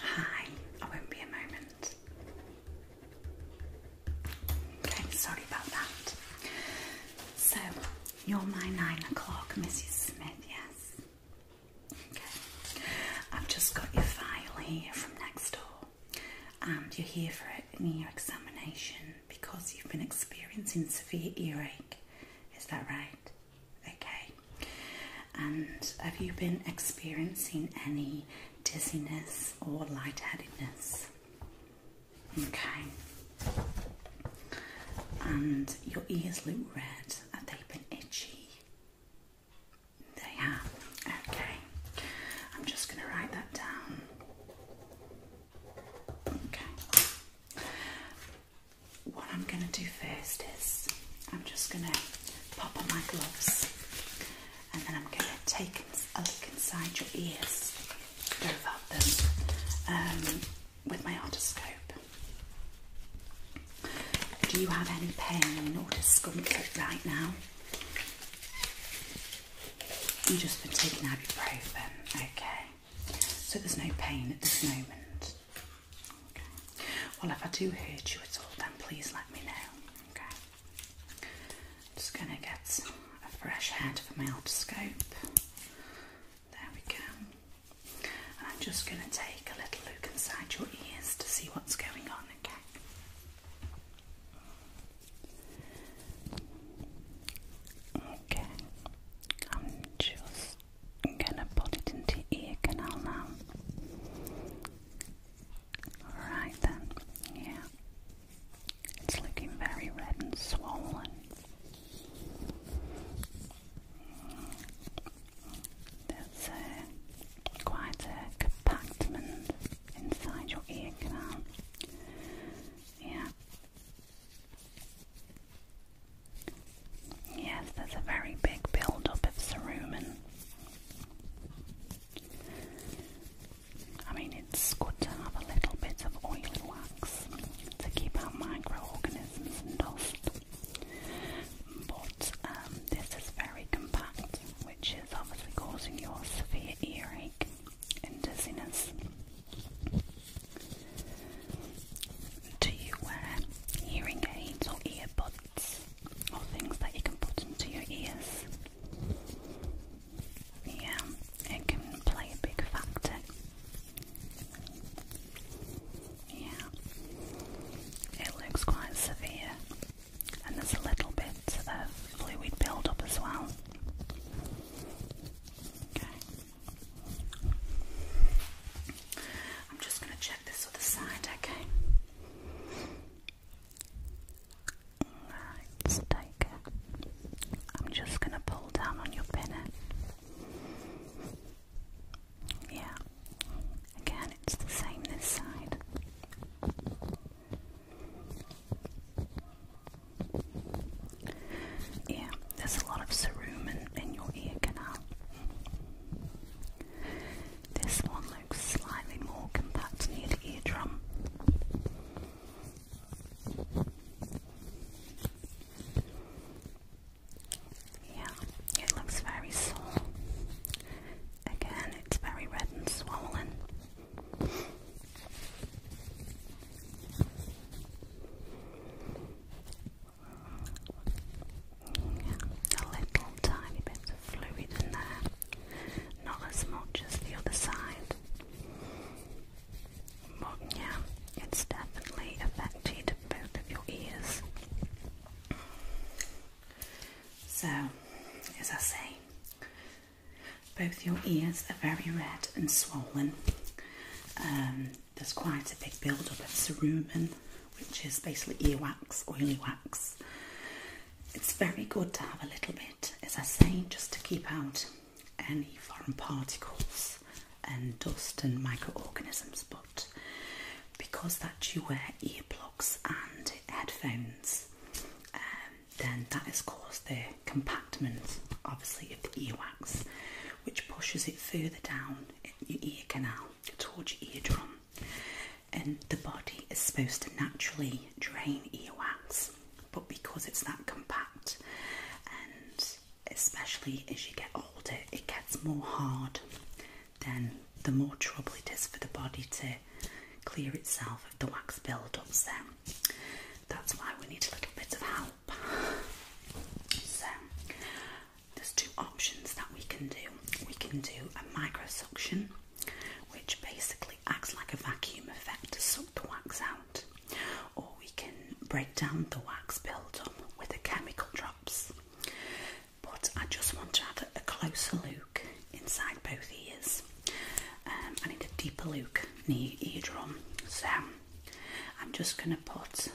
Hi, I won't be a moment. Okay, sorry about that. So, you're my nine o'clock, Mrs. Smith, yes? Okay. I've just got your file here from next door, and you're here for an ear examination because you've been experiencing severe earache. Is that right? Okay. And have you been experiencing any dizziness or lightheadedness? Okay. And your ears look red. Have they have been itchy? They have. Okay. I'm just going to write that down. Okay what I'm going to do first is I'm just going to pop on my gloves and then I'm going to take a look inside your ears, go about them um, with my otoscope. Do you have any pain in your discomfort right now? You've just been taking ibuprofen, okay. So there's no pain at this moment. Well, if I do hurt you at all, then please let me know. Okay. I'm just going to get a fresh head for my otoscope. There we go. And I'm just going to take a little look inside your ears to see what's going on. Okay. Okay, I'm just I'm gonna put it into your ear canal now. Alright then, yeah. It's looking very red and swollen. There's uh, quite a compartment inside your ear canal. Yeah. Yes, there's a very big build up of cerumen. I mean, it's good to have a little bit of oily wax to keep out microorganisms and dust, but um, this is very compact, which is obviously causing your severe earache and dizziness. Do you wear hearing aids or earbuds or things that you can put into your ears? Yeah, it can play a big factor. Yeah, it looks quite severe, and there's a little bit of fluid build-up as well. Okay. I'm just going to check this other side, okay? Alright, take it. I'm just going to pull down on your pinnet. Yeah, again, it's the same this Yeah, there's a lot of cerumen in your ear canal. This one looks slightly more compact near the eardrum. Yeah, it looks very sore. Again, it's very red and swollen a little tiny bit of fluid in there, not as much as the other side, but yeah, it's definitely affected both of your ears. So, as I say, both your ears are very red and swollen. Um, there's quite a big build up of cerumen, which is basically earwax, oily wax. It's very good to have a little bit, as I say, just to keep out any foreign particles and dust and microorganisms. But because that you wear earplugs and headphones, um, then that has caused the compactment, obviously, of the earwax, which pushes it further down your ear canal towards your eardrum, and the body is supposed to naturally drain ear wax, but because it's that compact, and especially as you get older, it gets more hard, then the more trouble it is for the body to clear itself of the wax build up. So that's why we need a little bit of help. So there's two options that we can do. We can do a micro suction, which basically acts like a vacuum effect to suck the wax out, or we can break down the wax build up with the chemical drops. But I just want to have a closer look inside both ears. Um, I need a deeper look near eardrum, so I'm just going to put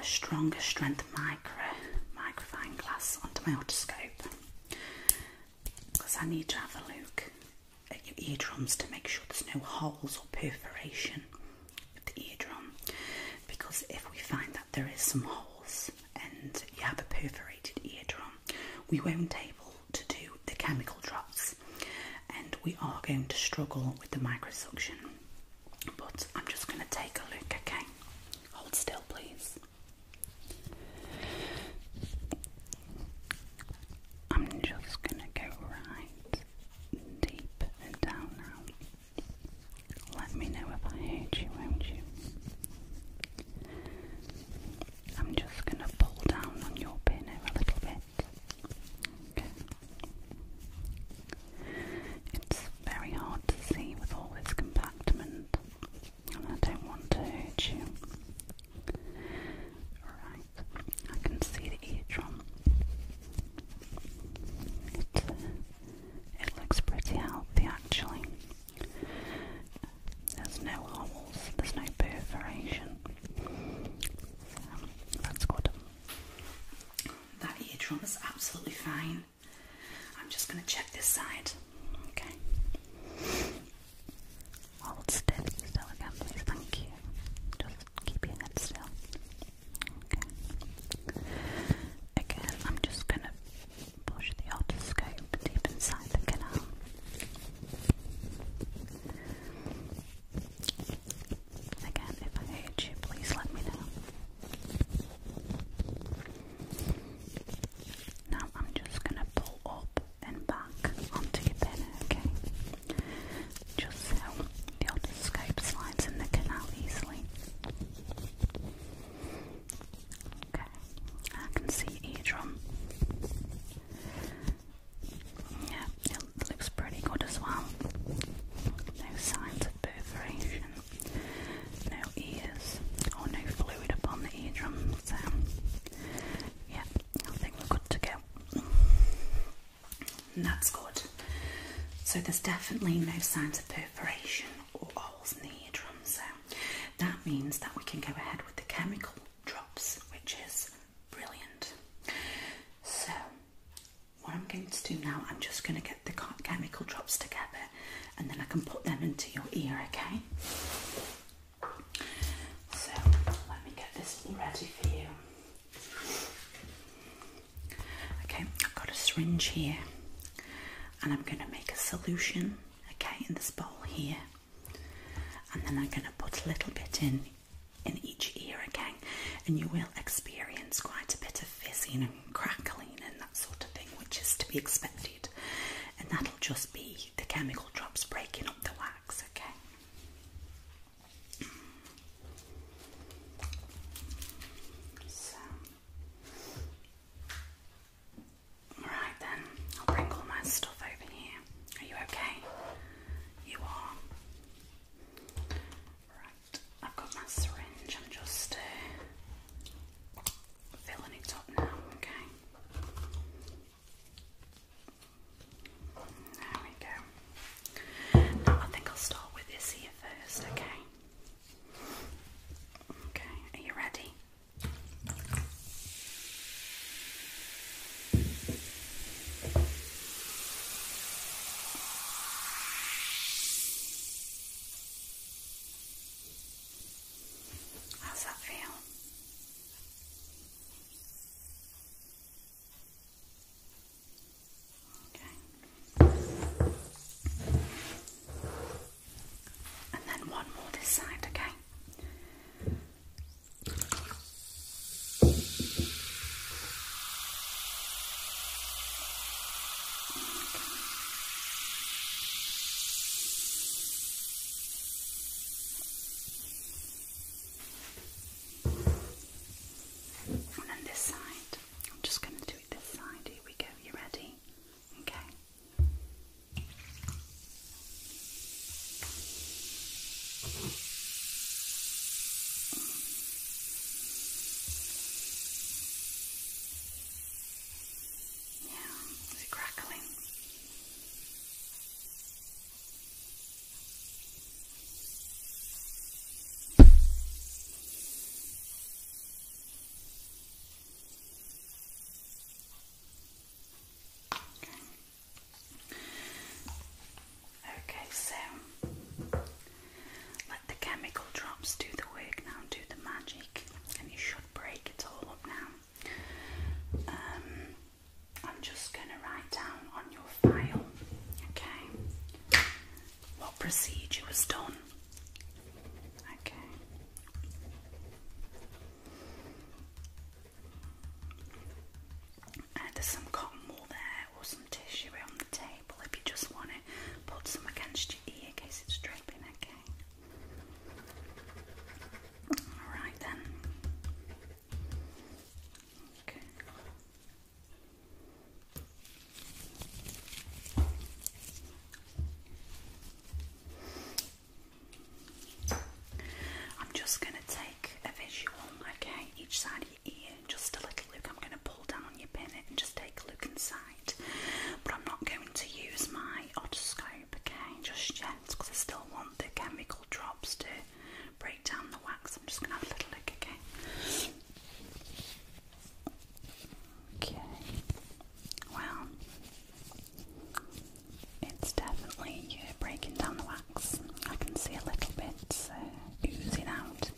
a stronger strength micro microfine glass onto my otoscope because I need to have a look at your eardrums to make sure there's no holes or perforation of the eardrum because if we find that there is some holes and you have a perforated eardrum we won't be able to do the chemical drops and we are going to struggle with the micro suction but I'm just going to take a look, okay? Hold still, please. I'm just going to go right deep and down now. Let me know if I hurt you, won't you? I'm just going to pull down on your pinner a little bit. It's very hard to see with all this compactment, and I don't want to hurt you. Right, I can see the eardrum. It, uh, it looks pretty healthy actually. There's no holes, there's no perforation. that's good. That eardrum is absolutely fine. I'm just going to check this side. Okay. Hold still, still again, please. Thank you. Just keep your still. Okay. Again, I'm just going to push the otoscope deep inside the canal. Again, if I hate you, please let me know. Now I'm just gonna pull up and back onto your pen, okay? Just so the otoscope slides in the canal easily. Okay, I can see eardrum. Yeah, it looks pretty good as well. No signs perforation, no ears, or oh, no fluid upon the eardrum. So, yeah, I think we're good to go. that's good. So, there's definitely no signs of perforation or holes in the eardrum. So, that means that we can go ahead with the chemical drops, which is brilliant. So, what I'm going to do now, I'm just going to get the chemical drops together and then I can put them into your ear, okay? So let me get this ready for you. Okay, I've got a syringe here and I'm going to make a solution, okay, in this bowl here. And then I'm going to put a little bit in in each ear again, and you will experience quite a bit of fizzing and crackling and that sort of thing, which is to be expected. And that'll just be the chemical drops breaking up the wax, okay? So. then, I'll bring all my stuff over here. Are you okay? You are. Right. I've got my syringe. I'm just uh, filling it up now. Okay. There we go. Now I think I'll start with this here first. Okay. Okay. Are you ready? How's that feel? Okay. And then one more this side, okay? And then this side. I'm just going to do it this side. Here we go. You ready? Okay. Yeah, is crackling? Okay. Okay, so the chemical drops do the work now, do the magic, and you should break it all up now. Um, I'm just going to write down on your file, okay, what procedure was done. Okay. And uh, there's some cotton wool there or some tissue around the table if you just want to put some against your ear in case it's dripping, okay? Alright then. Okay. I'm just going to take a visual, okay, each side just a little look. I'm going to pull down on your pinnet and just take a look inside. But I'm not going to use my otoscope, okay, just yet because I still want the chemical drops to break down the wax. I'm just going to have a little look, okay? Okay, well, it's definitely breaking down the wax. I can see a little bit oozing out.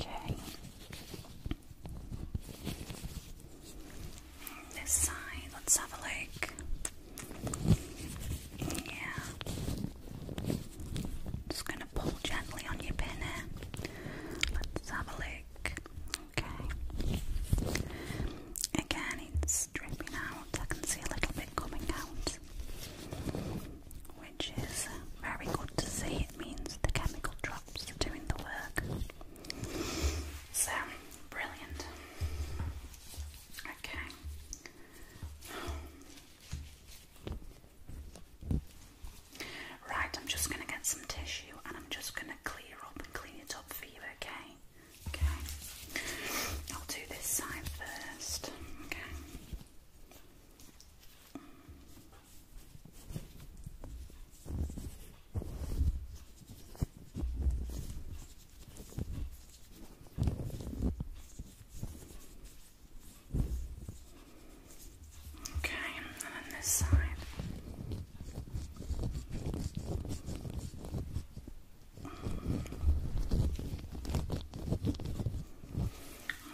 Okay. This side, let's have a look. Yeah. Just gonna pull gently on your pin here. Let's have a look. Okay. Again, it's dripping out. I can see a little bit coming out which is very good to see. It means the chemical drops are doing the work. So, brilliant. Okay. Right, I'm just going to get some tissue and I'm just going to clear up clean it up for okay? Okay. I'll do this side first. Okay. Okay, and this side.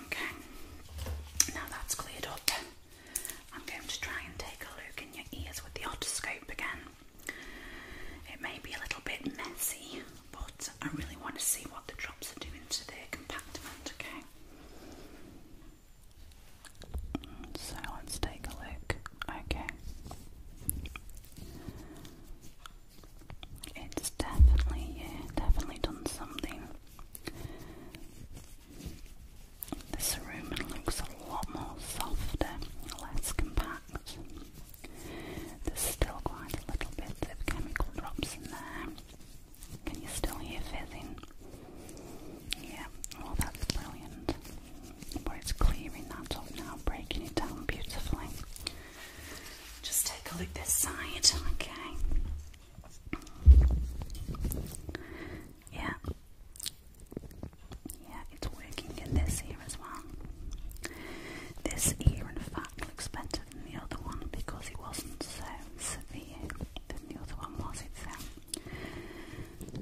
Okay, now that's cleared up. I'm going to try and take a look in your ears with the otoscope again. It may be a little bit messy, but I really want to see what the drops are doing to the compartment, okay? So let's take a look. Okay. It's definitely, yeah, definitely done something. This room looks a lot more softer, less compact. There's still quite a little bit of chemical drops in there. Can you still hear fizzing? Yeah, well that's brilliant. But it's clearing that up now, breaking it down beautifully. Just take a look this side, okay? Yeah. Yeah, it's working in this ear as well. This ear, in fact, looks better than the other one because it wasn't so severe than the other one was itself.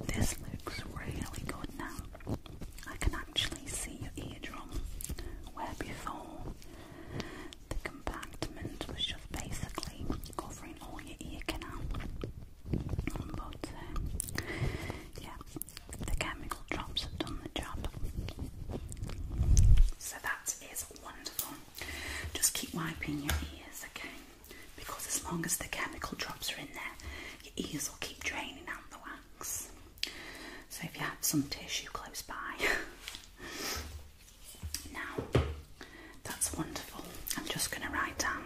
This looks really good now. I can actually see your eardrum where before the compartment was just basically covering all your ear canal. But uh, yeah, the chemical drops have done the job. So that is wonderful. Just keep wiping your ears, okay? Because as long as the chemical drops are in there, your ears will keep draining out the wax. So if you have some tissue close by, Now, that's wonderful. I'm just going to write down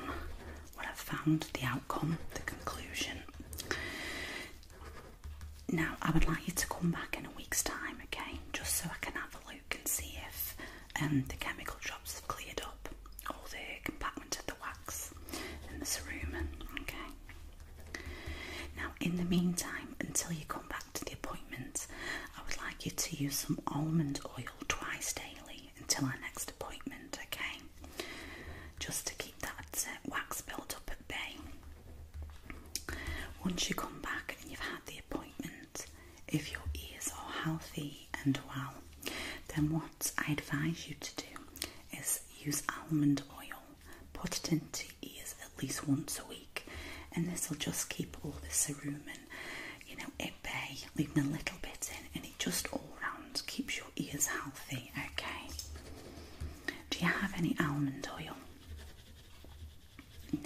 what i found, the outcome, the conclusion. Now, I would like you to come back in a week's time again, just so I can have a look and see if um, the chemical drops have cleared up all the compartment of the wax in the cerumen. Okay. Now, in the meantime, until you come back to the appointment, I would like you to use some almond oil twice daily until our next appointment, okay? Just to keep that uh, wax built up at bay. Once you come back and you've had the appointment, if your ears are healthy and well, then what I advise you to do is use almond oil, put it into ears at least once a week, and this will just keep all the cerumen, you know, at bay, leaving a little bit in, and it just all round keeps your ears healthy. Okay. Do you have any almond oil? No.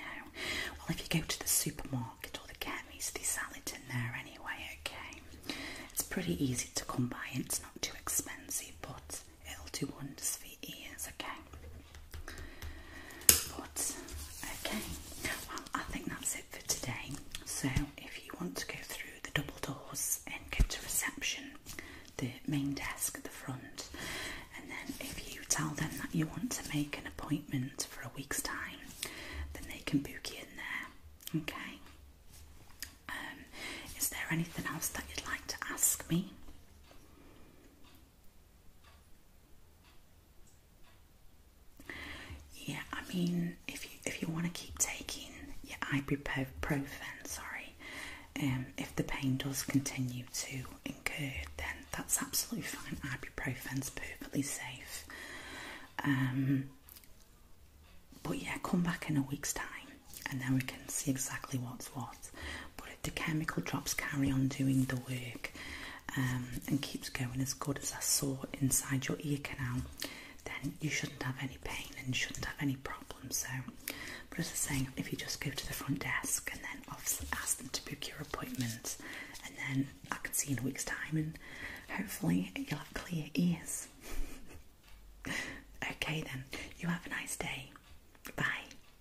Well, if you go to the supermarket or the chemist, they sell it in there anyway. Okay. It's pretty easy to come by, and it's not too expensive, but it'll do wonders for your ears. Okay okay, well, I think that's it for today. So, if you want to go through the double doors and go to reception, the main desk at the front, and then if you tell them that you want to make an appointment for a week's time, then they can book you in there. Okay. Um, is there anything else that you'd like to ask me? Yeah, I mean, if you if you want to keep taking your ibuprofen, sorry, um, if the pain does continue to incur, then that's absolutely fine. Ibuprofen's perfectly safe. Um, but yeah, come back in a week's time, and then we can see exactly what's what but if the chemical drops carry on doing the work um, and keeps going as good as I saw inside your ear canal, then you shouldn't have any pain and you shouldn't have any problems. So, but as I was saying, if you just go to the front desk and then obviously ask them to book your appointment, and then I can see in a week's time, and hopefully you'll have clear ears. okay, then you have a nice day. Bye.